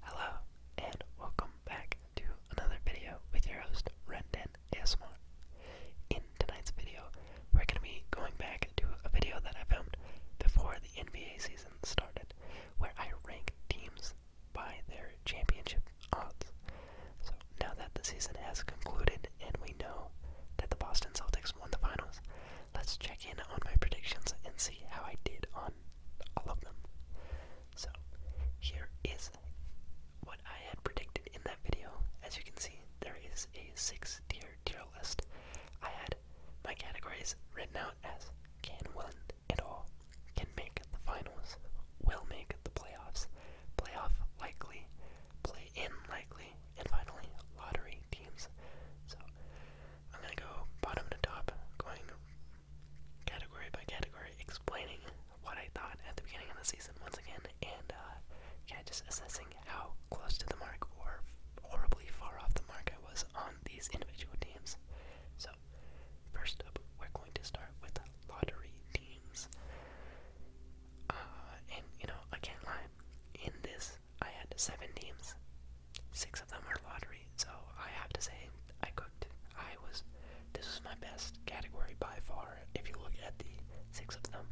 Hello, and welcome back to another video with your host, Rendon ASMR. In tonight's video, we're going to be going back to a video that I filmed before the NBA season started, where I ranked teams by their championship odds. So now that the season has concluded, and we know that the Boston Celtics won the finals. Let's check in on my predictions and see how I did on all of them. So, here is what I had predicted in that video. As you can see, there is a six tier tier list. I had my categories written out as can win it all, can make the finals, will make the playoffs, playoff likely, play in likely, and finally, lottery teams. So I'm gonna go bottom to top, going category by category, explaining what I thought at the beginning of the season once again, and uh, just assessing how close to the mark or horribly far off the mark I was on these individual teams. So first up, we're going to start with lottery teams. Uh, and you know, I can't lie. In this I had seven teams. Six of them are lottery, so I have to say I cooked. I was this was my best category by far. If you look at the six of them,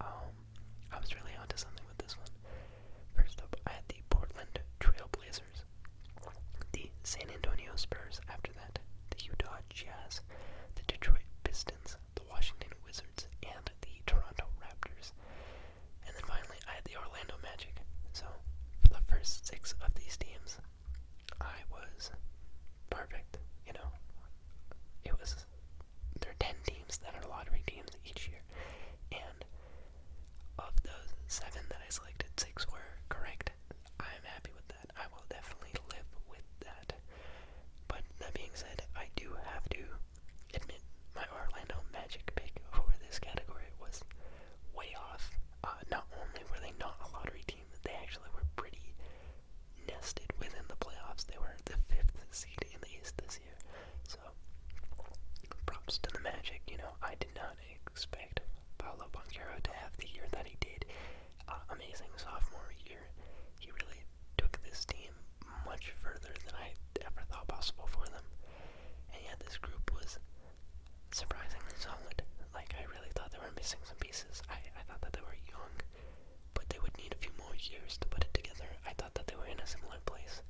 um, I was really onto something with this one. First up, I had the Portland Trailblazers, the San Antonio Spurs. After that, the Utah Jazz, the Detroit Pistons, the Washington Wizards and the Toronto Raptors. And then finally, I had the Orlando Magic. So, for the first six of these teams, I was perfect. You know, it was. There are 10 teams that are lottery teams each year. And of those seven that I selected, six were correct. I'm happy with that. I will definitely live with that. But that being said, I do have to admit my Orlando Magic pick for this category was way off. Uh, not only were they not a lottery team, they actually were pretty nested within the playoffs. They were the fifth seed in the East this year. So, props to the Magic. You know, I did not expect Paolo Banquero to have the year that he did. Uh, amazing sophomore year year, he really took this team much further than I ever thought possible for them. And yet, this group was surprisingly solid. Like, I really thought they were missing some pieces. I, I thought that they were young, but they would need a few more years to put it together. I thought that they were in a similar place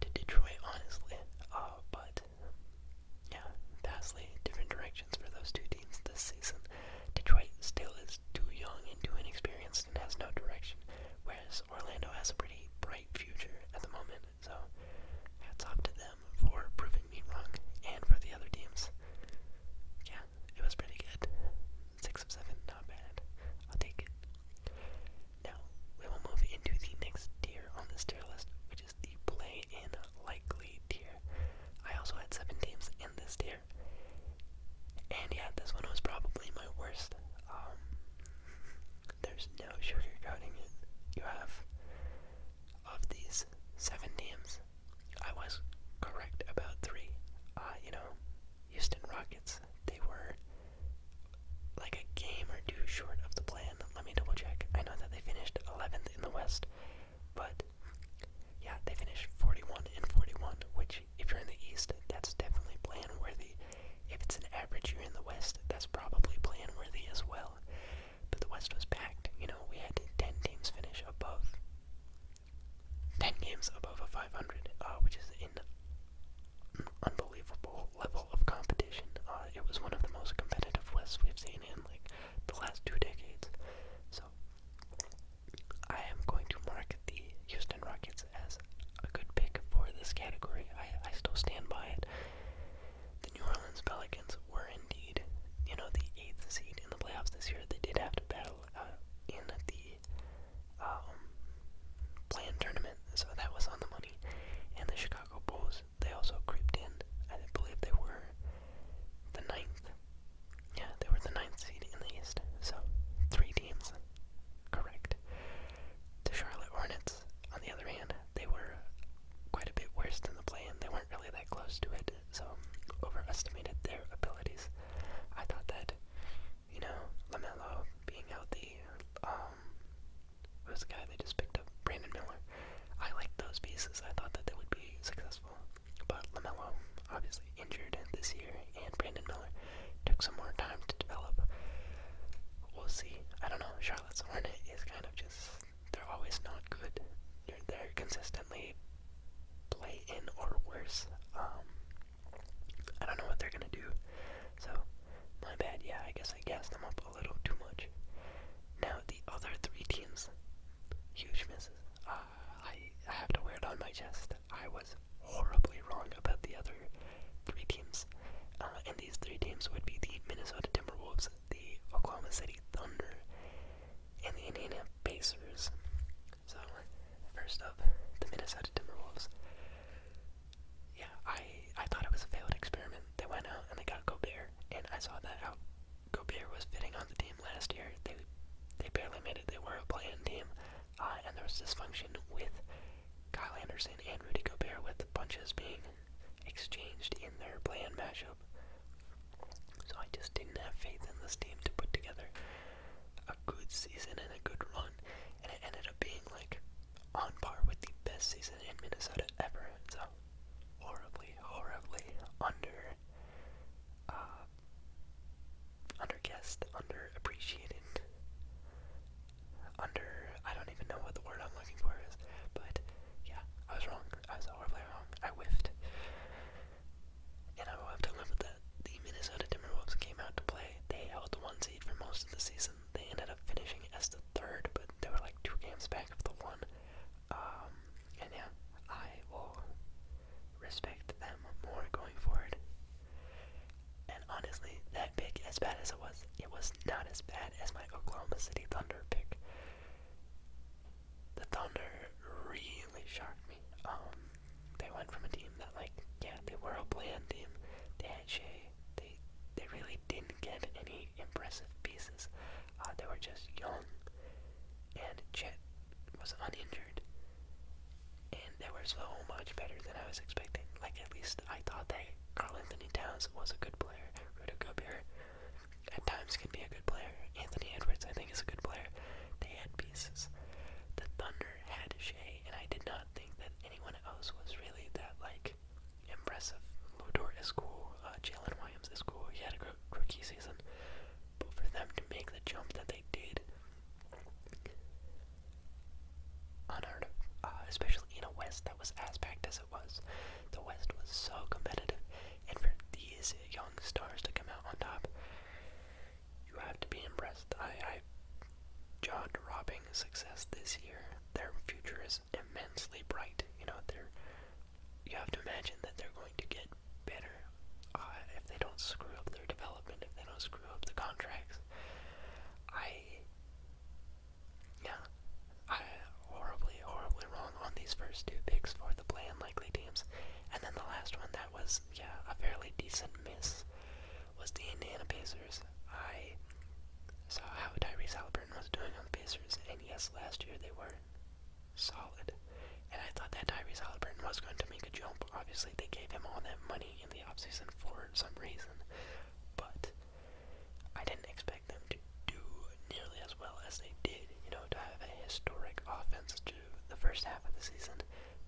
to Detroit, honestly. Uh, but, yeah, vastly different directions for those two teams this season. Detroit still is too young and too inexperienced Boston has no direction, whereas Orlando has a pretty bright future at the moment. So hats off to them for proving me wrong, and for the other teams. Yeah, it was pretty good. Six of seven, not bad. I'll take it. Now we will move into the next tier on this tier list, which is the play-in likely tier. I also had seven teams in this tier. And yeah, this one was probably my worst. Um, there's no sugarcoating it. You have, of these seven teams, I was correct about three. Uh, you know, Houston Rockets, they were like a game or two short of the plan. Let me double check. I know that they finished 11th in the West, but yeah, they finished 41 and 41, which, if you're in the East, that's definitely plan worthy. If it's an average you're in the West, that's probably plan worthy as well. But the West was packed. You know, we had 10 teams finish above 10 games above a 500, uh, which is an unbelievable level of competition. Uh, it was one of the most competitive Wests we've seen in like the last two decades. So I am going to mark the Houston Rockets as a good pick for this category. I, I still stand by it. The New Orleans Pelicans were indeed, you know, the eighth seed in the playoffs this year. They did have to battle uh, in the um, play tournament, so that was on the money. And the Chicago Bulls, they also creeped in. I believe they were the ninth yeah, they were the ninth seed in the East, so three teams correct. The Charlotte Hornets, on the other hand, they were quite a bit worse than the play They weren't really that close to it, so overestimated their abilities. I thought that, you know, LaMelo being healthy, um, was the guy they just picked up, Brandon Miller. I liked those pieces. I thought that they would be successful. But LaMelo, obviously injured this year, and Brandon Miller took some more time to develop. We'll see. I don't know. Charlotte's Hornet is kind of just, they're always not good. They're, consistently play in or worse. Um, I don't know what they're going to do. So, my bad. Yeah, I guess I gassed them up a little too much. Now, the other three teams, huge misses. Ah, I, I have to wear it on my chest. I was horribly wrong about the other three teams. Uh, and these three teams would be the Minnesota Timberwolves, the Oklahoma City Thunder, and the Indiana Pacers. So, first up, the Minnesota Timberwolves. Yeah, I, I thought it was a failed experiment. They went out and they got Gobert, and I saw that out. Gobert was fitting on the team team last year. They they barely made it. They were a play-in team, uh, and there was dysfunction with Kyle Anderson and Rudy Gobert, with punches being exchanged in their play-in matchup. So I just didn't have faith in this team to put together a good season and a good run, and it ended up being like on par with the best season in Minnesota ever. So horribly, horribly under uh, underappreciated, under, I don't even know what the word I'm looking for is, but yeah, I was wrong. I was horribly wrong. I whiffed. And I will have to live that. The Minnesota Timberwolves came out to play. They held the one seed for most of the season. They ended up finishing as the third, but they were like two games back of the one. Um, and yeah, I will respect them more going forward. And honestly, that pick, as bad as it was, it was not as bad as my Oklahoma City Thunder pick. The Thunder really shocked me. Um, they went from a team that, like, yeah, they were a bland team. They had Shea. They they really didn't get any impressive pieces. Uh, they were just young, and Chet was uninjured and they were so much better than I was expecting. Like at least I thought that Carl Anthony Towns was a good player. Rudy Gobert at times can be a good player. Anthony Edwards I think is a good player. They had pieces. The Thunder had Shea, and I did not think that anyone else was really that like impressive. Ludor is cool. Uh, Jalen Williams is cool. He had a rookie season. But for them to make the jump that they did, unheard of, uh, especially in a West that was as packed as it was. The West was so competitive, and for these young stars to come out on top, you have to be impressed. I, I jaw-dropping success this year. Their future is immensely bright. You know, they're. You have to imagine that they're going to get bit better uh, if they don't screw up their development, if they don't screw up the contracts. I, yeah, I horribly, horribly wrong on these first two picks for the play unlikely teams, and then the last one that was yeah a fairly decent miss was the Indiana Pacers. I saw how Tyrese Halliburton was doing on the Pacers, and yes, last year they were solid. And I thought that Tyrese Halliburton was going to make a jump. Obviously, they gave him all that money in the offseason for some reason, but I didn't expect them to do nearly as well as they did. You know, to have a historic offense to the first half of the season,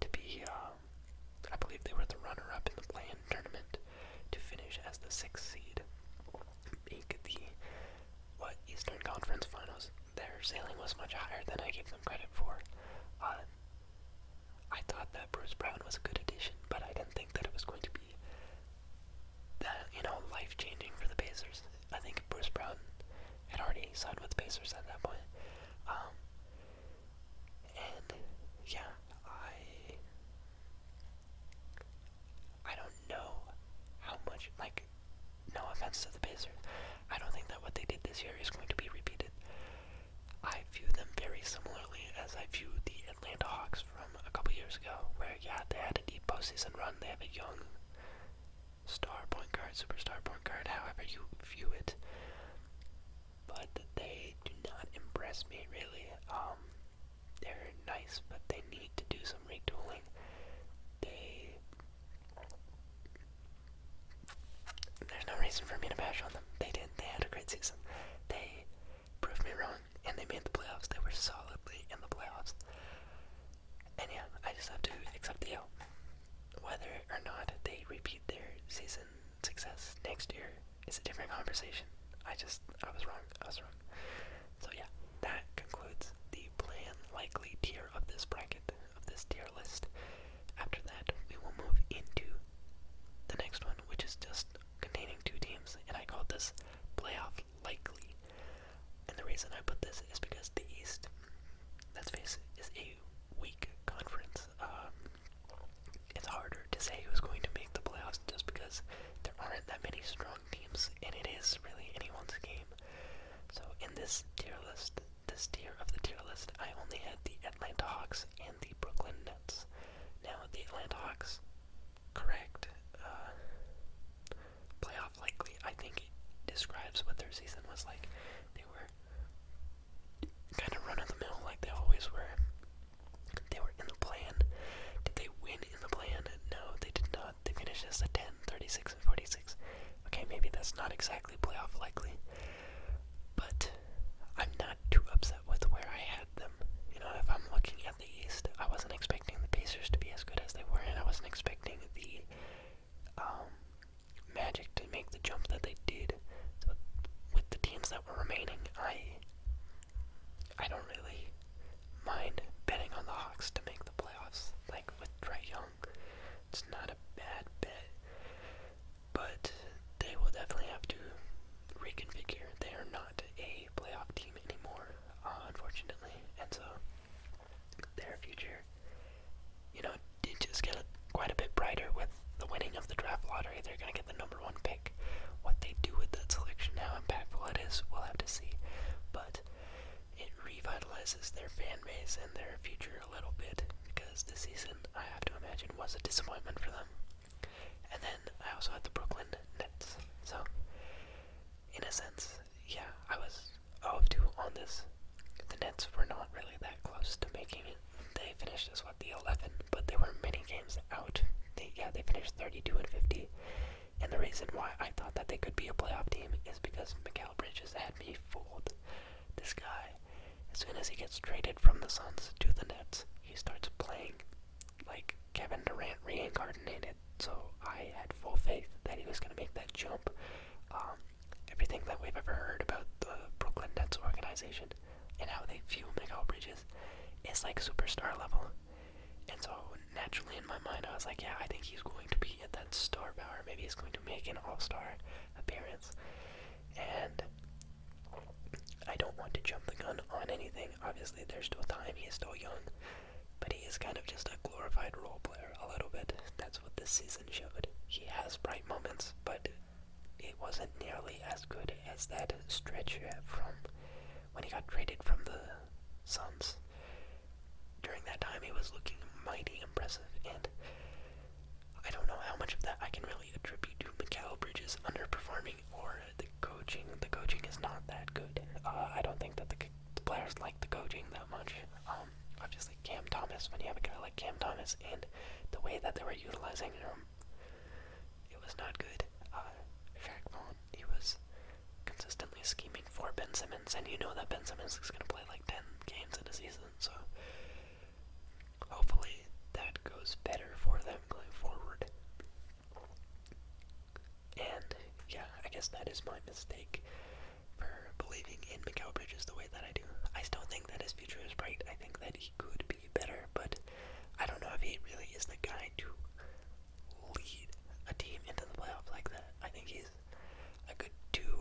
to be, um, I believe they were the runner-up in the play-in tournament, to finish as the sixth seed, make the what Eastern Conference Finals their ceiling was much higher than I gave them credit for. Uh, I thought that Bruce Brown was a good addition, but I didn't think that it was going to be that you know life changing for the Pacers. I think Bruce Brown had already signed with the Pacers at that point. Um, and yeah, I I don't know how much like no offense to the Pacers, I don't think that what they did this year is going to be repeated. I view them very similarly as I view the Atlanta Hawks from a couple years ago, where yeah, they had a deep postseason run. They have a young star point guard, superstar point guard, however you view it. But they do not impress me really. Um, they're nice, but they need to do some retooling. They there's no reason for me to bash on them. They did. not They had a great season. They proved me wrong, and they made the playoffs. They were solidly in the playoffs. And yeah, I just have to accept the L. Whether or not they repeat their season success next year is a different conversation. I just, I was wrong. I was wrong. So yeah, that concludes the plan likely tier of this bracket of this tier list. After that, we will move into the next one, which is just containing two teams, and I called this playoff likely. And the reason I put this is because the East, let's face it, is a weak conference. Um, it's harder to say who's going to make the playoffs just because there aren't that many strong teams, and it is really anyone's game. So in this tier list, this tier of the tier list, I only had the Atlanta Hawks and the Brooklyn Nets. Now, the Atlanta Hawks, correct, uh, playoff likely, I think it describes what their season was like. They were kind of running the mill like they always were. They were in the plan. Did they win in the plan? No, they did not they finished as the 10, 36, and 46. Okay, maybe that's not exactly playoff likely, but I'm not too upset with where I had them. You know, if I'm looking at the East, I wasn't expecting the Pacers to be as good as they were, and I wasn't expecting the um, Magic to make the jump that they did. So with the teams that were remaining, I I don't really mind betting on the Hawks to make the playoffs. Like with Trey it's not a bad bet, but they will definitely have to reconfigure. They are not a playoff team anymore, unfortunately, and so their future, you know, did just get quite a bit brighter with the winning of the draft lottery. They're going to get the number one pick. What they do with that selection, how impactful it is, we'll have to see. But it revitalizes their fan base and their future a little bit because the season, I have to imagine, was a disappointment for them. And then I also had the Brooklyn Nets. So, in a sense, yeah, I was 0 to on this. The Nets were not really that close to making it. They finished as what, the 11, but they were many games out. They, yeah, they finished 32 and 50. And the reason why I thought that they could be a playoff team is because Mikael Bridges had had me fooled. This guy, as soon as he gets traded from the Suns to the Nets, he starts playing like Kevin Durant reincarnated. So I had full faith that he was going to make that jump. Um, everything that we've ever heard about the Brooklyn Nets organization and how they fuel Miguel Bridges is like superstar level. And so naturally in my mind, I was like, yeah, I think he's going to be be at that star power. Maybe he's going to make an all star appearance. And I don't want to jump the gun on anything. Obviously, there's still time. He is still young. But he is kind of just a glorified role player a little bit. That's what this season showed. He has bright moments, but it wasn't nearly as good as that stretch from when he got traded from the Suns during that time, he was looking mighty impressive, and I don't know how much of that I can really attribute to Mikael Bridges underperforming or the coaching. The coaching is not that good. Uh, I don't think that the, players like the coaching that much. Um, obviously, Cam Thomas, when you have a guy like Cam Thomas, and the way that they were utilizing him, it was not good. Uh, Shaq he was consistently scheming for Ben Simmons, and you know that Ben Simmons is going to play like 10 games in a season, so hopefully that goes better for them going forward. And yeah, I guess that is my mistake for believing in Mikael Bridges the way that I do. I still think that his future is bright. I think that he could be better, but I don't know if he really is the guy to lead a team into the playoffs like that. I think he's a good two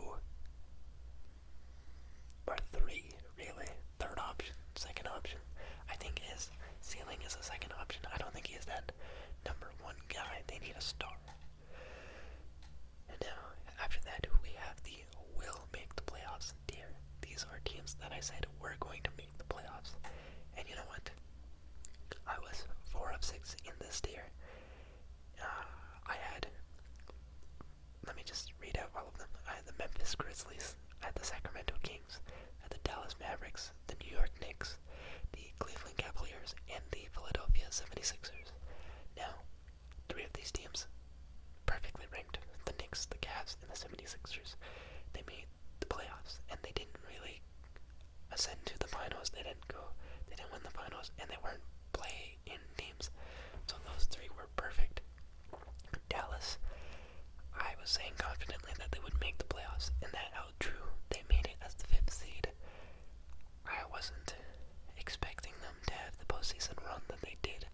or three, really. Third option, second option. I think his ceiling is a second option. I don't think he is that number one guy. They need a star. And now, after that, we have the will make the playoffs tier. These are teams that I said we're going to make the playoffs. And you know what? I was 4 of 6 in this tier. I had, let me just read out all of them. I had the Memphis Grizzlies, at the Sacramento Kings, at the Dallas Mavericks, the New York Knicks, the Cleveland Cavaliers, and the Philadelphia 76ers. Now, three of these teams perfectly ranked the Knicks, the Cavs, and the 76ers. They made the playoffs, and they didn't really ascend to the finals. They didn't go. They didn't win the finals, and they weren't playing in teams. So those three were perfect. Dallas, I was saying confidently that they would make the playoffs, and that outdrew. They made it as the fifth seed. I wasn't expecting them to have the postseason run that they did.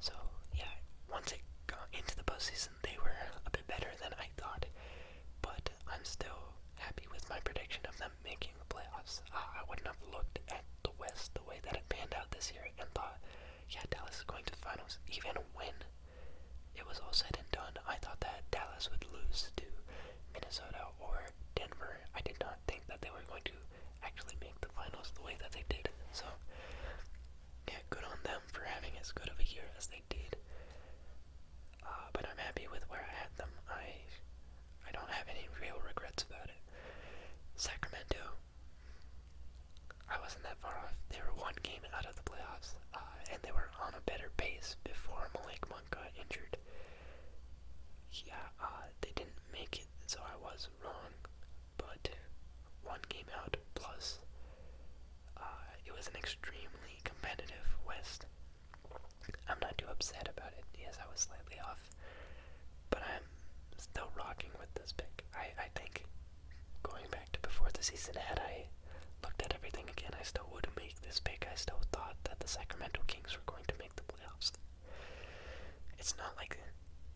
So yeah, once it got into the postseason, they were a bit better than I thought. But I'm still happy with my prediction of them making the playoffs. Uh, I wouldn't have looked at the West the way that it panned out this year and thought, yeah, Dallas is going to the finals. Even when it was all said and done, I thought that Dallas would lose to Minnesota or Denver. I did not think that they were going to actually make the finals the way that they did. So, yeah, good on them for having as good of a year as they did. Uh, but I'm happy with where I had them. I I don't have any real regrets about it. Sacramento, I wasn't that far off. They were one game out of the playoffs, uh, and they were on a better pace before Malik Monk got injured. Yeah, uh, they didn't make it, so I was wrong, but one game out plus. it was an extremely competitive West, I'm not too upset about it. Yes, I was slightly off, but I'm still rocking with this pick. I, I think going back to before the season, had I looked at everything again, I still would make this pick. I still thought that the Sacramento Kings were going to make the playoffs. It's not like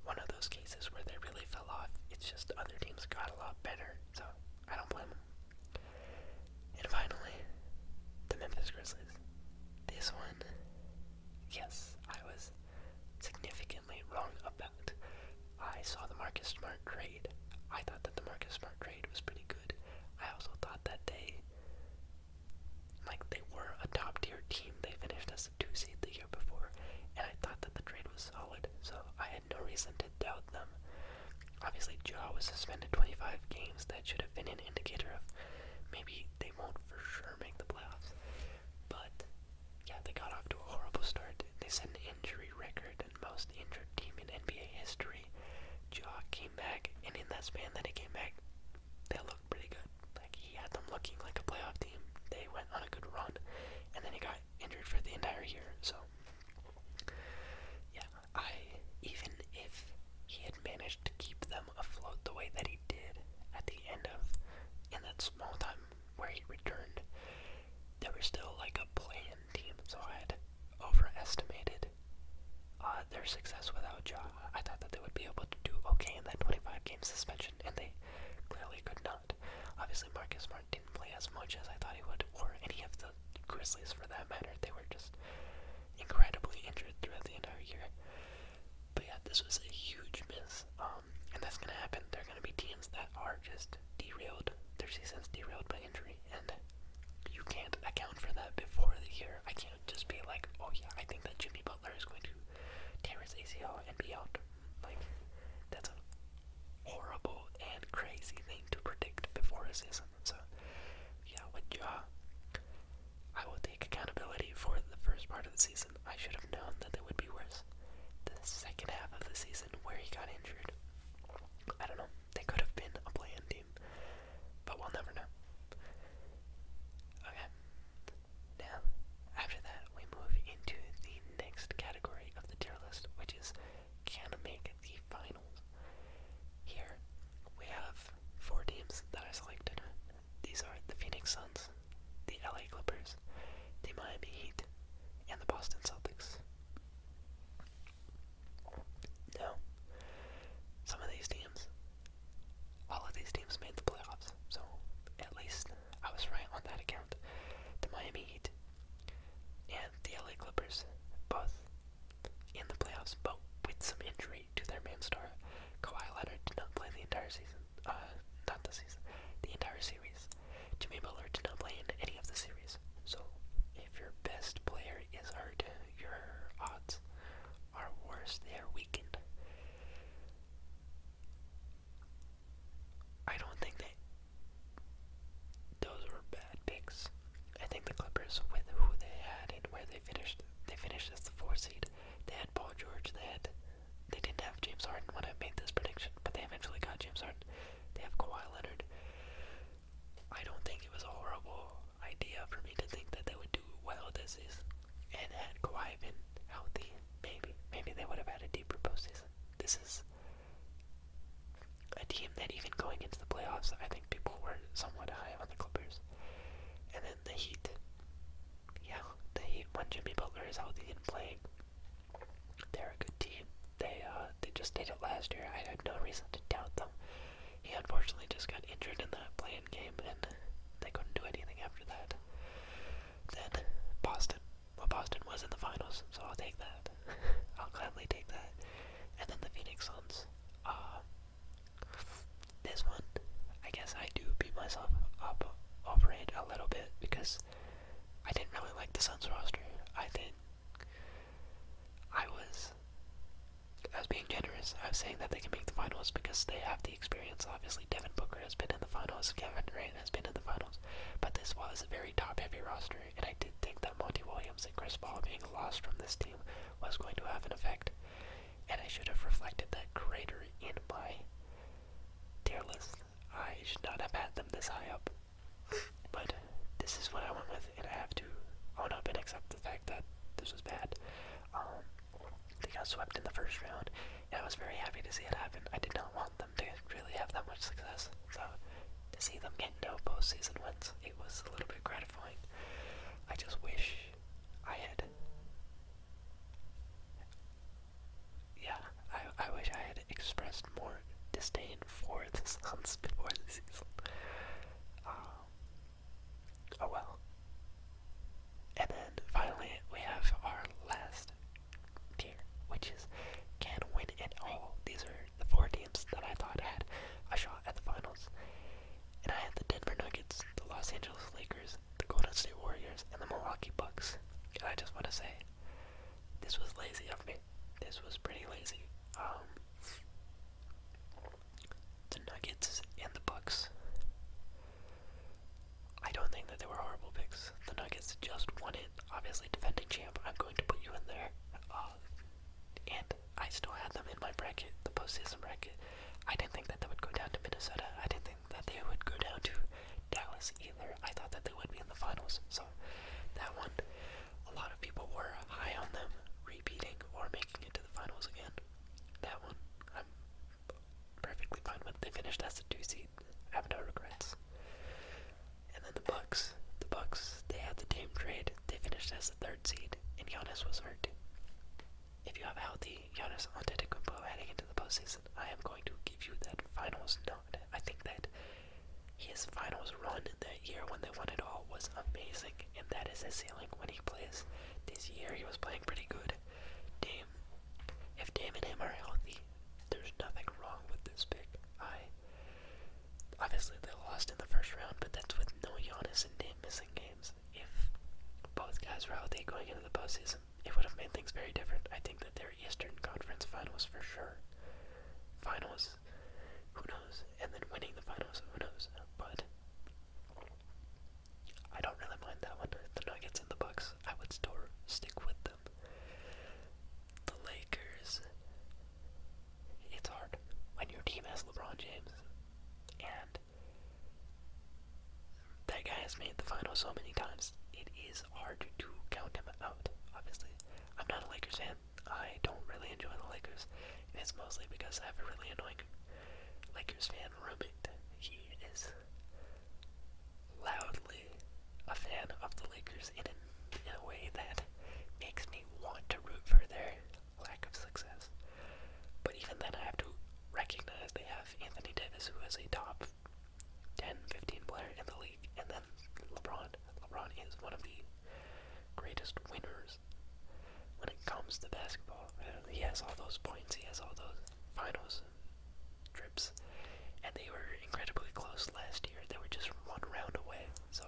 one of those cases where they really fell off. It's just other teams got a lot better, so I don't blame them. And finally, the Memphis Grizzlies. This one, yes, I was significantly wrong about. I saw the Marcus Smart trade. I thought that the Marcus Smart trade was pretty good. I also thought that they, like, they were a top tier team. They finished as a two seed the year before, and I thought that the trade was solid, so I had no reason to doubt them. Obviously, Jaw was suspended 25 games. That should have been an indicator of maybe they won't for sure make the playoffs. But yeah, they got off to a horrible start. They set an injury record and most injured team in NBA history. Jaw came back, and in that span that he came back, they looked pretty good. Like he had them looking like a playoff team. They went on a good run, and then he got injured for the entire year. So yeah, I, even if he had managed to keep them afloat the way that he did at the end of, in that small time where he returned, they were still like a playing team, so I had overestimated uh, their success without Ja. I thought that they would be able to do okay in that 25-game suspension, and they clearly could not. Obviously, Marcus Smart didn't play as much as I thought he would, or any of Grizzlies for that matter. They were just incredibly injured throughout the entire year. But yeah, this was a huge miss. Um, and that's gonna happen. There are gonna be teams that are just derailed. Their season's derailed by injury, and you can't account for that before the year. I can't just be like, oh yeah, I think that Jimmy Butler is going to tear his ACL and be out. Like, that's a horrible and crazy thing to predict before a season person. So, yeah, with uh, Ja, I will take accountability for the first part of the season. I should have known that they would be worse. The second half of the season, where he got injured, I don't know. They could have been a play-in team, but we'll never know. Okay. Now, after that, we move into the next category of the tier list, which is can make the finals. Here we have four teams that I selected. These are the Phoenix Suns, the LA Clippers, the Miami Heat, and the Boston Celtics. Now, some of these teams, all of these teams made the playoffs, so at least I was right on that account. The Miami Heat and the LA Clippers both in the playoffs, but with some injury to their main star, Kawhi Leonard did not play the entire season. Uh, not the season, the entire series. Jimmy Butler did not play in any of the series. So, if your best player is hurt, your odds are worse. They are weakened. I don't think that those were bad picks. Clippers. I think the Clippers, with who they had and where they finished, they finished as the four seed. They had Paul George. They had, they didn't have James Harden when I made this prediction, but they eventually got James Harden. They have Kawhi Leonard. I don't think it was a horrible idea for me to think that they would do well this season. And had Kawhi been healthy, maybe, maybe they would have had a deeper postseason. This is a team that even going into the playoffs, I think people were somewhat high on the Clippers. And then the Heat. Yeah, the Heat, when Jimmy Butler is healthy and playing, they're a good team. They, uh, they just did it last year. I had no reason to doubt them. He unfortunately just got injured in that playing game, and they couldn't do anything after that. Then Boston. Well, Boston was in the finals, so I'll take that. I'll gladly take that. And then the Phoenix Suns. Uh, this one, I guess I do beat myself up over it a little bit because I didn't really like the Suns roster. I think I was I was being generous. I was saying that they can make the finals because they have the experience. Obviously, Devin Booker has been in the finals, Kevin Durant has been in the finals, but this was a very top-heavy roster, and I did think that Monty Williams and Chris Paul being lost from this team was going to have an effect, and I should have reflected that greater in my tier list. I should not have had them this high up, but this is what I went with, and I have to own up and accept the fact that this was bad. Um, they got swept in the first round, and I was very happy to see it happen. I did not want them to really have that much success, so to see them get no postseason wins. It was a little bit gratifying. I just wish I had. Yeah, I, I wish I had expressed more disdain for this Suns before the season. Um, oh well. And then finally, we have our last tier, which is can win at all. These are the four teams that I thought had a shot at the finals. And I had the Denver Nuggets, the Los Angeles Lakers, the Golden State Warriors, and the Milwaukee Bucks. And I just want to say, this was lazy of me. This was pretty lazy. Um, the Nuggets and the Bucks. I don't think that they were horrible picks. The Nuggets just won it. Obviously, defending champ, I'm going to put you in there. Uh, and I still had them in my bracket, the postseason bracket. I didn't think that they would go down to Minnesota. I didn't think that they would go down to Dallas either. I thought that they would be in the finals. So that one, a lot of people were high on them repeating or making it to the finals again. That one, I'm perfectly fine with. They finished as a two seed. I have no regrets. And then the Bucks. The Bucks, they had the Dame trade. They finished as the third seed, and Giannis was hurt. If you have a healthy Giannis Antetokounmpo heading into the postseason, I am going to give you that finals nod. I think that his finals run that year when they won it all was amazing, and that is his ceiling when he plays. This year he was playing pretty good. Dame, if Dame and him are healthy, there's nothing wrong with this pick. I Obviously, they lost in the first round, but that's with no Giannis and Dame missing games. If both guys were out there going into the postseason, it would have made things very different. I think that they're Eastern Conference Finals for sure. Finals, who knows? And then winning the finals, who knows? But I don't really mind that one. The Nuggets and the Bucks, I would still stick with them. The Lakers, it's hard when your team has LeBron James and that guy has made the final so many times. It is hard to count him out, obviously. I'm not a Lakers fan. I don't really enjoy the Lakers. it's mostly because I have a really annoying Lakers fan roommate. He is loudly a fan of the Lakers in an in a way that makes me want to root for their lack of success. But even then, I have to recognize they have Anthony Davis, who is a top 10, 15 player in the league, and then LeBron. LeBron is one of the greatest winners when it comes to basketball. Uh, he has all those points, he has all those finals trips, and they were incredibly close last year. They were just one round away, so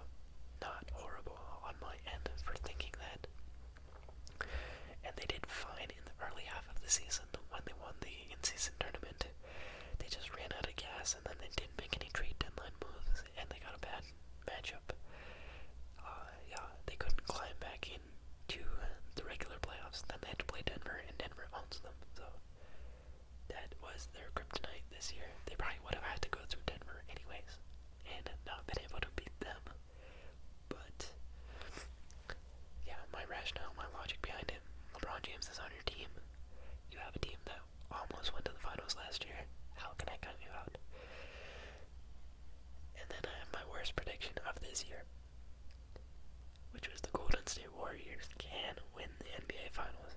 not horrible on my end for thinking that. And they did fine in the early half of the season when they won the in season tournament. They just ran out of gas and then they didn't make any trade deadline moves and they got a bad matchup. Uh, yeah, they couldn't climb back in to the regular playoffs. Then they had to play Denver and Denver owns them. So that was their kryptonite this year. They probably would have had to go through Denver anyways and not been able to beat them. But yeah, my rationale, my logic behind it, LeBron James is on your team. You have a team that almost went to the finals last year. How can I cut you out? And then I uh, have my worst prediction of this year, which was the Golden State Warriors can win the NBA Finals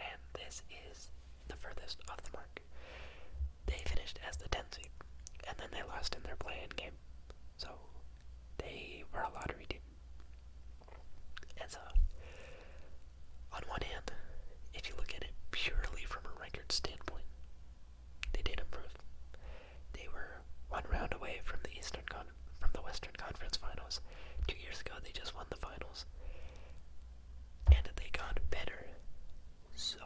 and this is the furthest off the mark. They finished as the 10th seed, and then they lost in their play-in game, so they were a lottery team. And so, on one hand, if you look at it purely from a record standpoint, they did improve. They were one round away from the Eastern Con from the Western Conference Finals. Two years ago, they just won the finals and they got better. So,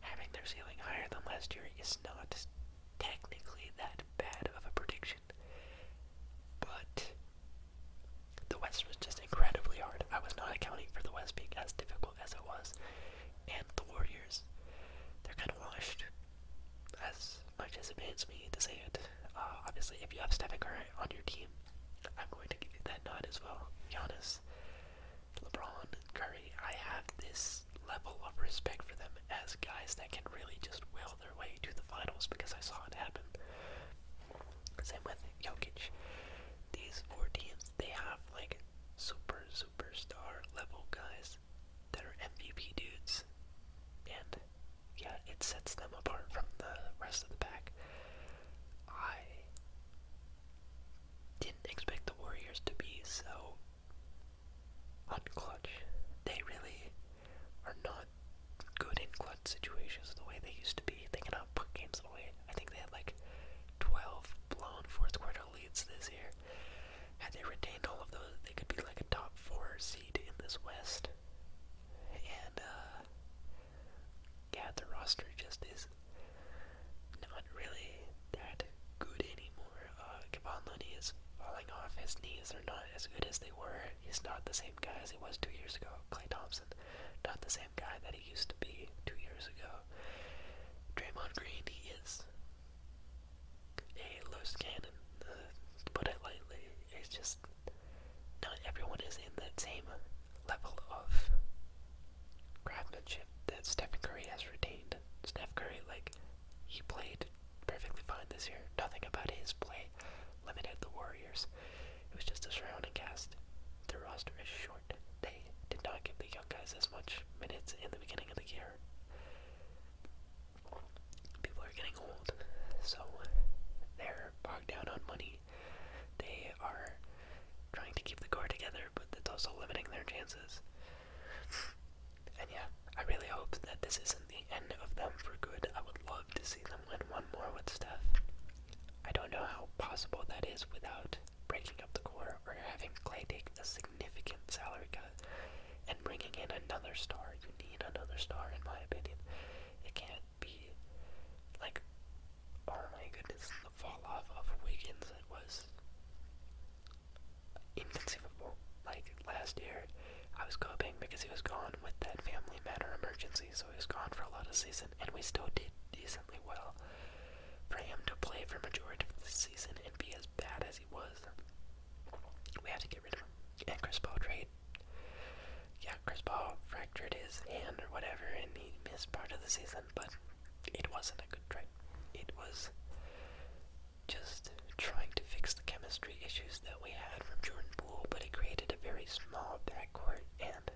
having their ceiling higher than last year is not technically that bad of a prediction. But the West was just incredibly hard. I was not accounting for the West being as difficult as it was. And the Warriors, they're kind of washed, as much as pains me to say it. Uh, obviously, if you have Stephen Curry on your team, I'm going to give you that nod as well. Giannis, LeBron, Curry, I have this level of respect for them as guys that can really just will their way to the finals because I saw it happen. Same with Jokic. These four teams, they have like super, superstar level guys that are MVP dudes. And yeah, it sets them apart from the rest of the pack. I didn't expect the Warriors to be so unclutch. They really are not good in clutch situations the way they used to be. They cannot put games away. I think they had like 12 blown fourth quarter leads this year. Had they retained all of those, they could be like a top four seed in this West. And, uh, yeah, the roster just is not really that good anymore. Uh, Kevon is falling off. His knees they are not as good as they were. He's not the same guy as he was two years ago. Clay Thompson, not the same guy that he used to be two years ago. Draymond Green, he is a loose cannon, uh, to put it lightly. It's just not everyone is in that same level of craftsmanship that Stephen Curry has retained. Steph Curry, like, he played perfectly fine this year. Nothing about his play limited the Warriors. It was just a surrounding cast. Their roster is short. They did not give the young guys as much minutes in the beginning of the year people are getting old, so they're bogged down on money. They are trying to keep the core together, but that's also limiting their chances. and yeah, I really hope that this isn't the end of them for good. I would love to see them win one more with Steph. I don't know how possible that is without breaking up the core or having Clay take a significant salary cut and bringing in another star. You need another star, in my opinion. It can't be like, oh my goodness, the fall off of Wiggins was inconceivable. Like last year, I was coping because he was gone with that family matter emergency, so he was gone for a lot of season, and we still did decently well. For him to play for majority of the season and be as bad as he was we have to get rid of him. And Chris Paul trade. Yeah, Chris Paul fractured his hand or whatever, and he missed part of the season, but it wasn't a good trade. It was just trying to fix the chemistry issues that we had from Jordan Poole, but it created a very small backcourt, and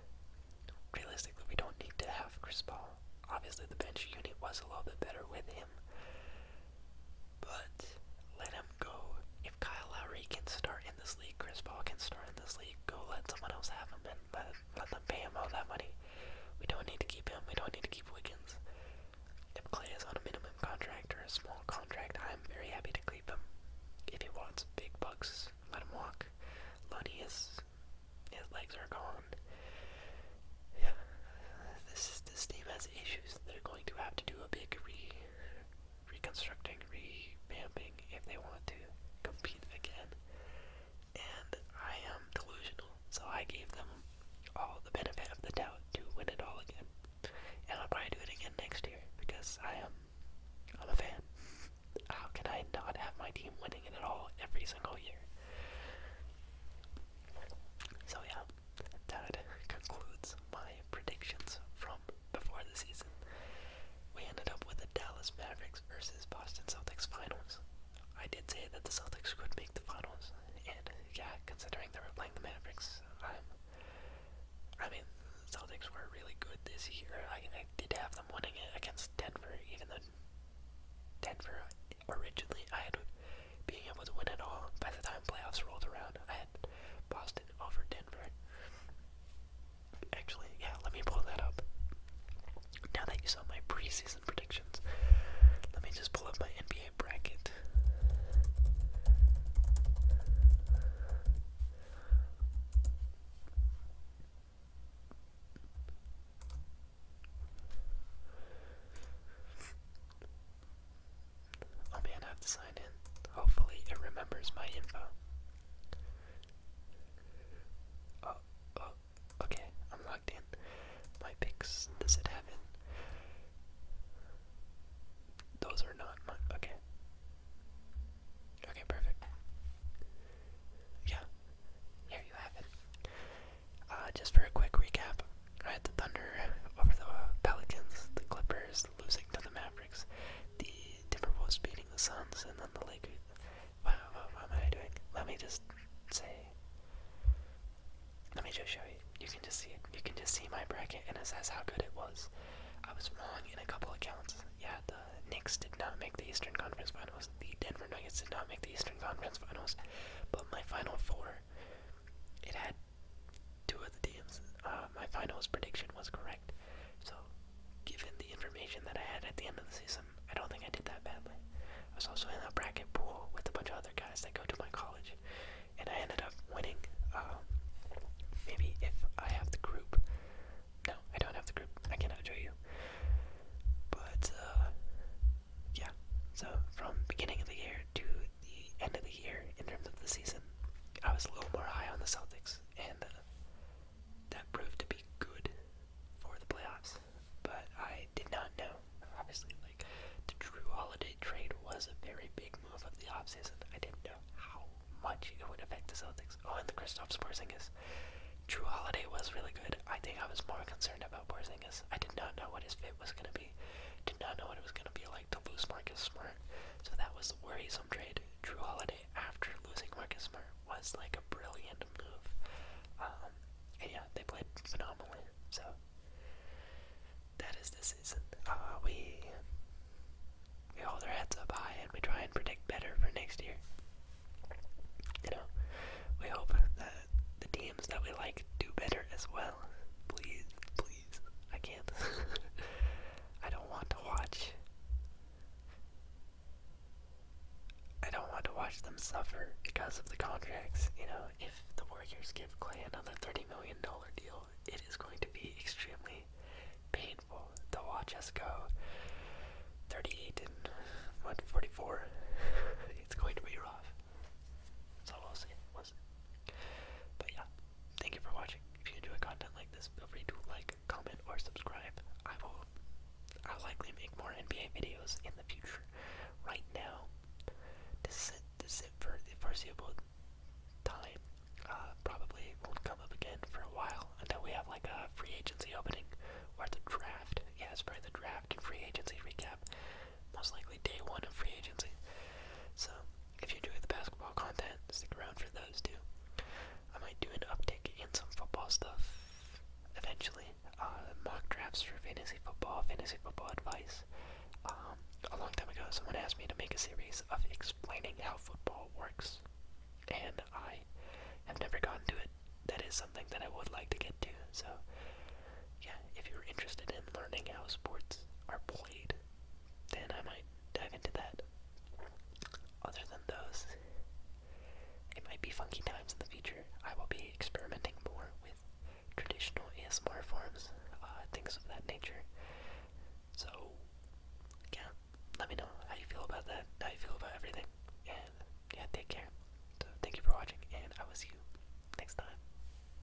realistically, we don't need to have Chris Paul. Obviously, the bench unit was a little bit better with him, but let him go. If Kyle Lowry can start in this league, Chris Paul can start in this league, go let someone else have him and let, them pay him all that money. We don't need to keep him. We don't need to keep Wiggins. If Clay is on a minimum contract or a small contract, I'm very happy to keep him. If he wants big bucks, let him walk. Lonnie is his legs are gone. Yeah, this this team has issues. They're going to have to do a big re reconstructing, revamping if they want to compete again. And I am delusional, so I gave them all the benefit of the doubt to win it all again. And I'll probably do it again next year because I am I'm a fan. How can I not have my team winning it all every single year? So yeah, that concludes my predictions from before the season. We ended up with the Dallas Mavericks versus Boston Celtics finals. I did say that the Celtics could make the finals, and yeah, considering they were playing the Mavericks, I'm. I mean, Celtics were really good this year. I, I did have them winning it against Denver, even though Denver originally I had being able to win it all. By the time playoffs rolled around, I had Boston over Denver. Actually, yeah, let me pull that up. Now that you saw my preseason predictions, let me just pull up my NBA bracket. I'll be have to sign in. Hopefully it remembers my info. Oh, oh, okay, I'm logged in. My picks, does it have in? Those are not my, okay. Okay, perfect. Yeah, here you have it. Uh, just for a quick recap, I had the Thunder over the Pelicans, the Clippers losing to the Mavericks, the Timberwolves beating the Suns, and then the Lakers. what, am I doing? Let me just say. Let me just show you. You can just see it. You can just see my bracket, and it says how good it was. I was wrong in a couple of counts. Yeah, the Knicks did not make the Eastern Conference Finals. The Denver Nuggets did not make the Eastern Conference Finals. But my final four, it had two of the teams, uh, my finals prediction was correct. So, given the information that I had at the end of the season, I don't think I did that badly. I was also in a bracket pool with a bunch of other guys that go to my college, and I ended up winning. Um, maybe if I have the group. No, I don't have the group. I cannot show you. But, uh, yeah. So, from beginning of the year to the end of the year, in terms of the season, I was a little more high on the Celtics, and uh, that proved to be good for the playoffs. But I did not know, obviously, like the Drew Holiday trade was a very big move of the offseason. I didn't know how much it would affect the Celtics. Oh, and the Kristaps Porzingis. Drew Holiday was really good. I think I was more concerned about Porzingis. I did not know what his fit was going to be. Did not know what it was going to be like like to lose Marcus Smart, so that was the worrisome trade. Drew Holiday after losing Marcus Smart was like a brilliant move. Um, and yeah, they played phenomenally. So that is the season. Uh, we we hold our heads up high and we try and predict better for next year. You know, we hope that the teams that we like do better as well. Please, please I can't. I don't want to watch. I don't want to watch them suffer because of the contracts. You know, if the Warriors give Clay another $30 million deal, it is going to be extremely painful to watch us go 38 and one forty-four. it's going to be rough. That's all i will say. But yeah, Thank you for watching. If you enjoy content like this, feel free to like, comment, or subscribe. I will I'll likely make more NBA videos in the future. Right now, this is it, this is it for the foreseeable time. Uh, probably won't come up again for a while until we have like a free agency opening or the draft. Yeah, it's probably the draft and free agency recap most likely day one of free agency. So if you enjoy the basketball content, stick around for those too. I might do an uptick and some football stuff eventually. Uh, mock drafts for fantasy football, fantasy football advice. Um, a long time ago, someone asked me to make a series of explaining how football works, and I have never gotten to it. That is something that I would like to get to. So, yeah, if you're interested in learning how sports are played, then I might dive into that. Other than those, it might be funky times in the future. I will be experimenting more with traditional ASMR forms, uh, things of that nature. So, yeah, let me know how you feel about that, how you feel about everything, and yeah, take care. So, thank you for watching, and I will see you next time.